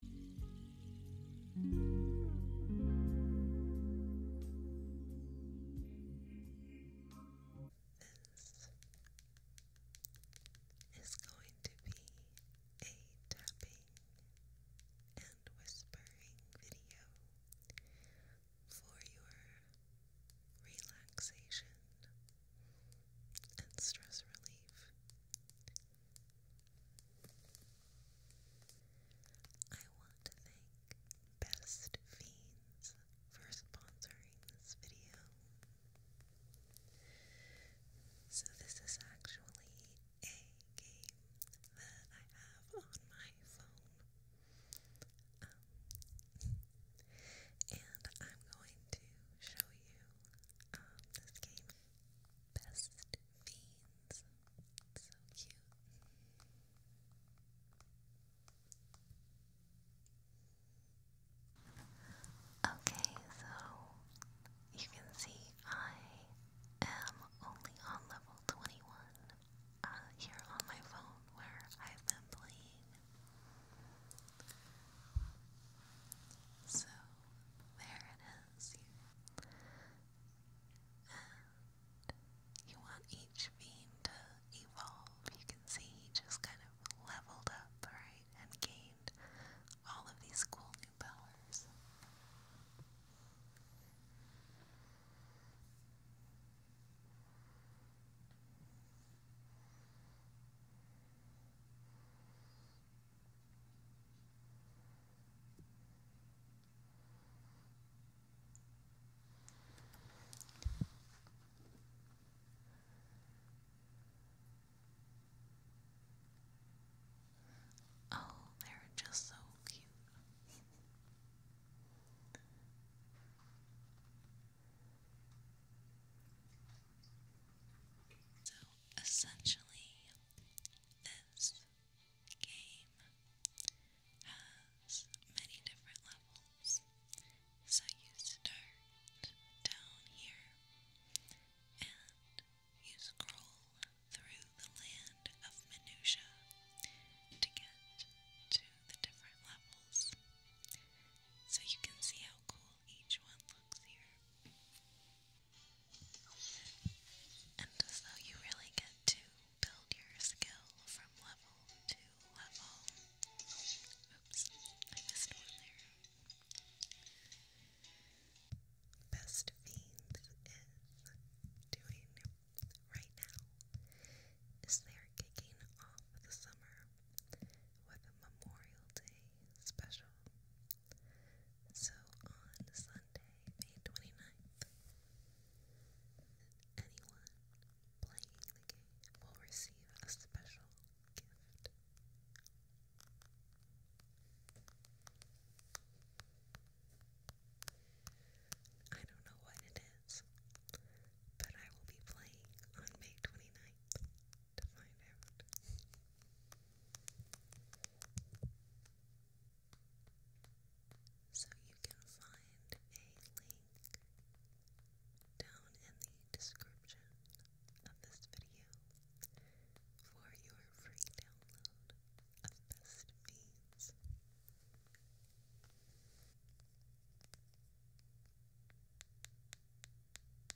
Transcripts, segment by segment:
This is going to be a tapping and whispering video for your relaxation and stress relief. I want to thank Best Fiends for sponsoring this video. So, this is actually a game that I have on my phone. Um, and I'm going to show you um, this game. Best fiends. So cute. Okay, so you can see I am only on level 21 uh, here on my phone where I've been playing. So there it you. want each beam to evolve. You can see he just kind of leveled up, right, and gained all of these cool new powers. Oh, they're just so cute. so Essentially, this game has many different levels. So you start down here and you scroll through the land of minutia to get to the different levels. So you can see how cool each one looks here. And so you really get to build your skill from level to level. Oops, I missed one there. Best Fiends is doing right now is they're kicking off the summer with Memorial Day special. So on Sunday, May 29th, anyone playing the game will receive a special gift. I don't know what it is, but I will be playing on May 29th to So you can find a link down in the description of this video for your free download of Best Beans. It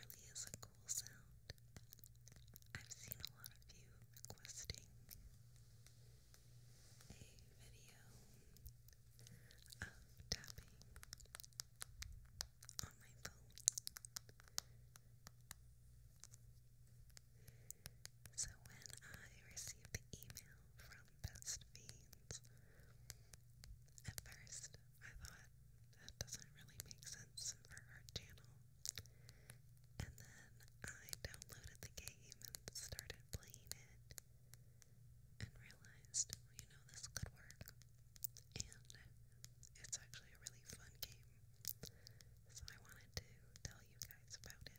really is a cool sound. I've seen a lot of you requesting a video of tapping on my phone. So when I received the email from Best Fiends, at first I thought that doesn't really make sense for our channel. And then I downloaded the game and started playing it and realized, oh, you know, this could work. And it's actually a really fun game. So I wanted to tell you guys about it.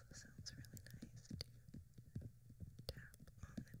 Also sounds really nice to tap on the DO so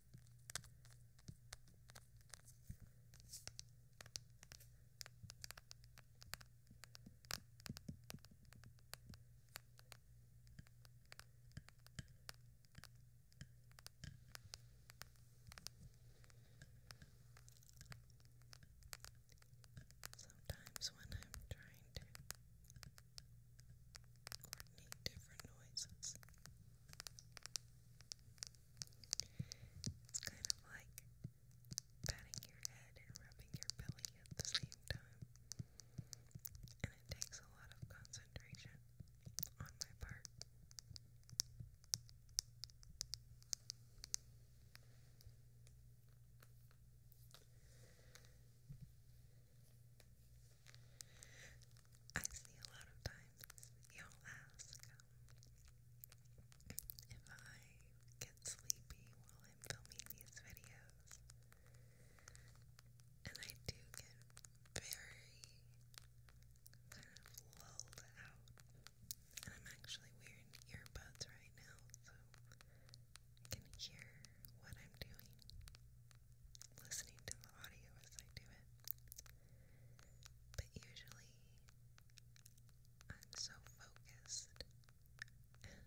Sometimes when I'm trying to coordinate different noises. It's kind of like patting your head and rubbing your belly at the same time. And it takes a lot of concentration on my part. I see a lot of times y'all ask um, if I get sleepy while I'm filming these videos, and I do get very kind of lulled out. And I'm actually wearing earbuds right now, so I can hear what I'm doing listening to the audio as I do it. But usually I'm so focused and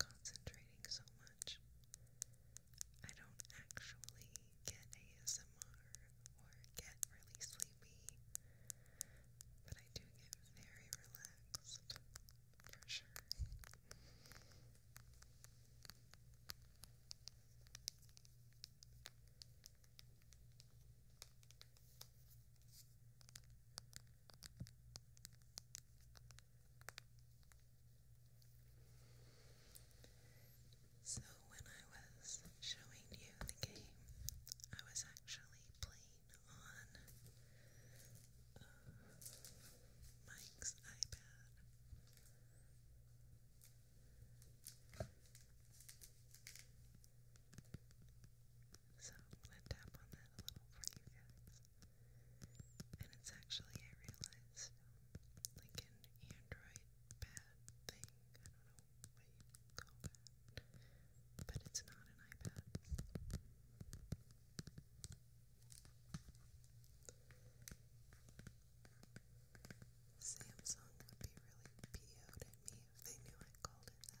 concentrating so much, I don't actually get ASMR or get really sleepy, but I do get very relaxed for sure. So, when I was showing you the game, I was actually playing on uh, Mike's iPad. So I'm gonna tap on that a little for you guys. And it's actually I realized like an Android pad thing. I don't know what you call that. But it's not an iPad. Samsung would be really po at me if they knew I called it that.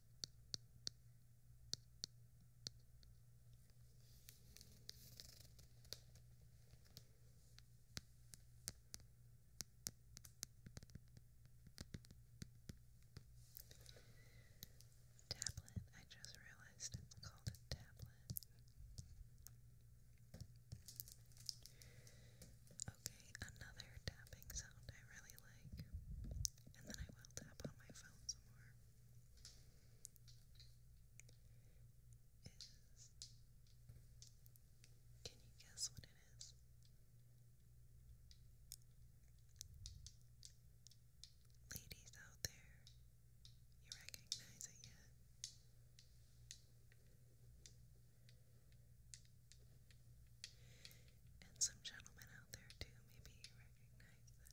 Tablet, I just realized it's called a tablet. Okay, another tapping sound I really like and then I will tap on my phone some more. can you guess what it is? Ladies out there, you recognize it yet? And some gentlemen out there, too, maybe recognize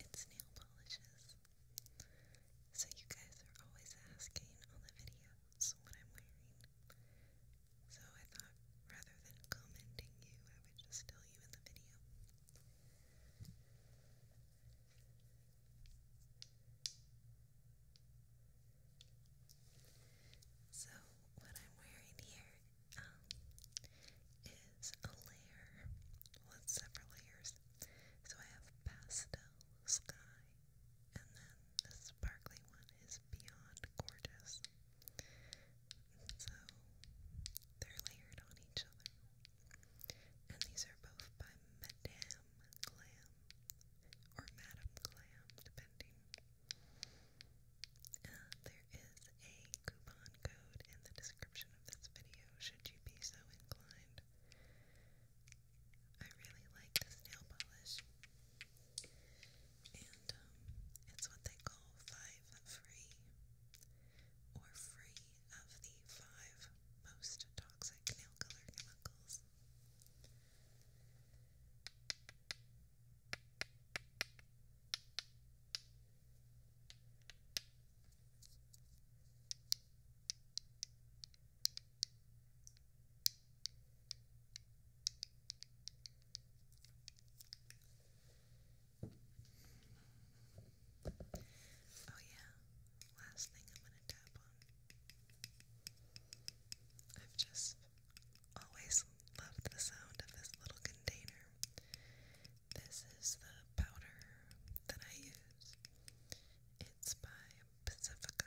it's nail polishes. So you guys are always asking on the videos what I'm wearing. So I thought rather than commenting you, I would just tell you in the video. So, what I'm wearing here um, is a layer with several layers. So I have pastel sky, and then the sparkly one is beyond gorgeous. So they're layered on each other. And these are both by Madame Glam or Madame Glam, depending. there is a coupon code in the description of this video should you be so inclined. I really like this nail polish. And um, it's what they call five free or free of the five most toxic nail color chemicals. Oh, yeah, last thing I'm going to tap on. I've just always loved the sound of this little container. This is the powder that I use. It's by Pacifica.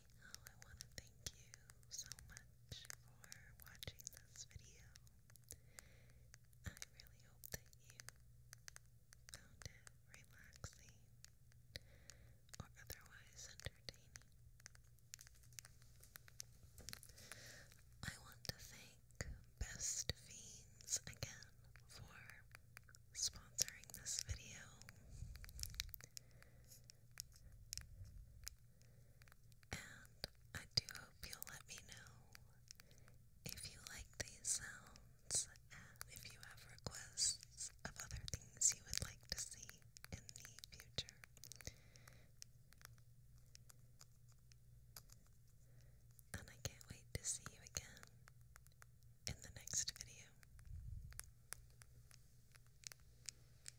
I want to thank you so much for watching this video. I really hope that you found it relaxing or otherwise entertaining. I want to thank Best Fiends again for sponsoring this video. And I do hope you'll let me know if you like these sounds and if you have requests of other things you would like to see in the future. And I can't wait to see you again in the next video.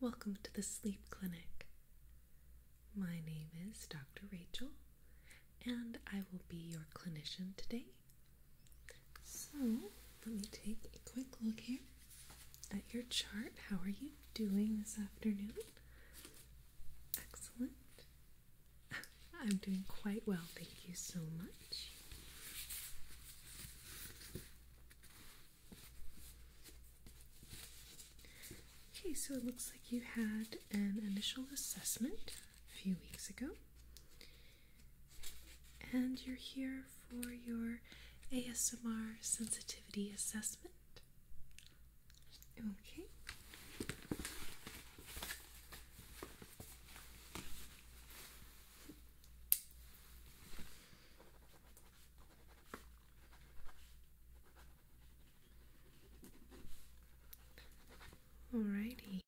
Welcome to the Sleep Clinic. My name is Dr. Rachel, and I will be your clinician today. So let me take a quick look here at your chart. How are you doing this afternoon? Excellent. I'm doing quite well, thank you so much. Okay, so it looks like you had an initial assessment a few weeks ago. And you're here for your ASMR sensitivity assessment. Okay. Alrighty.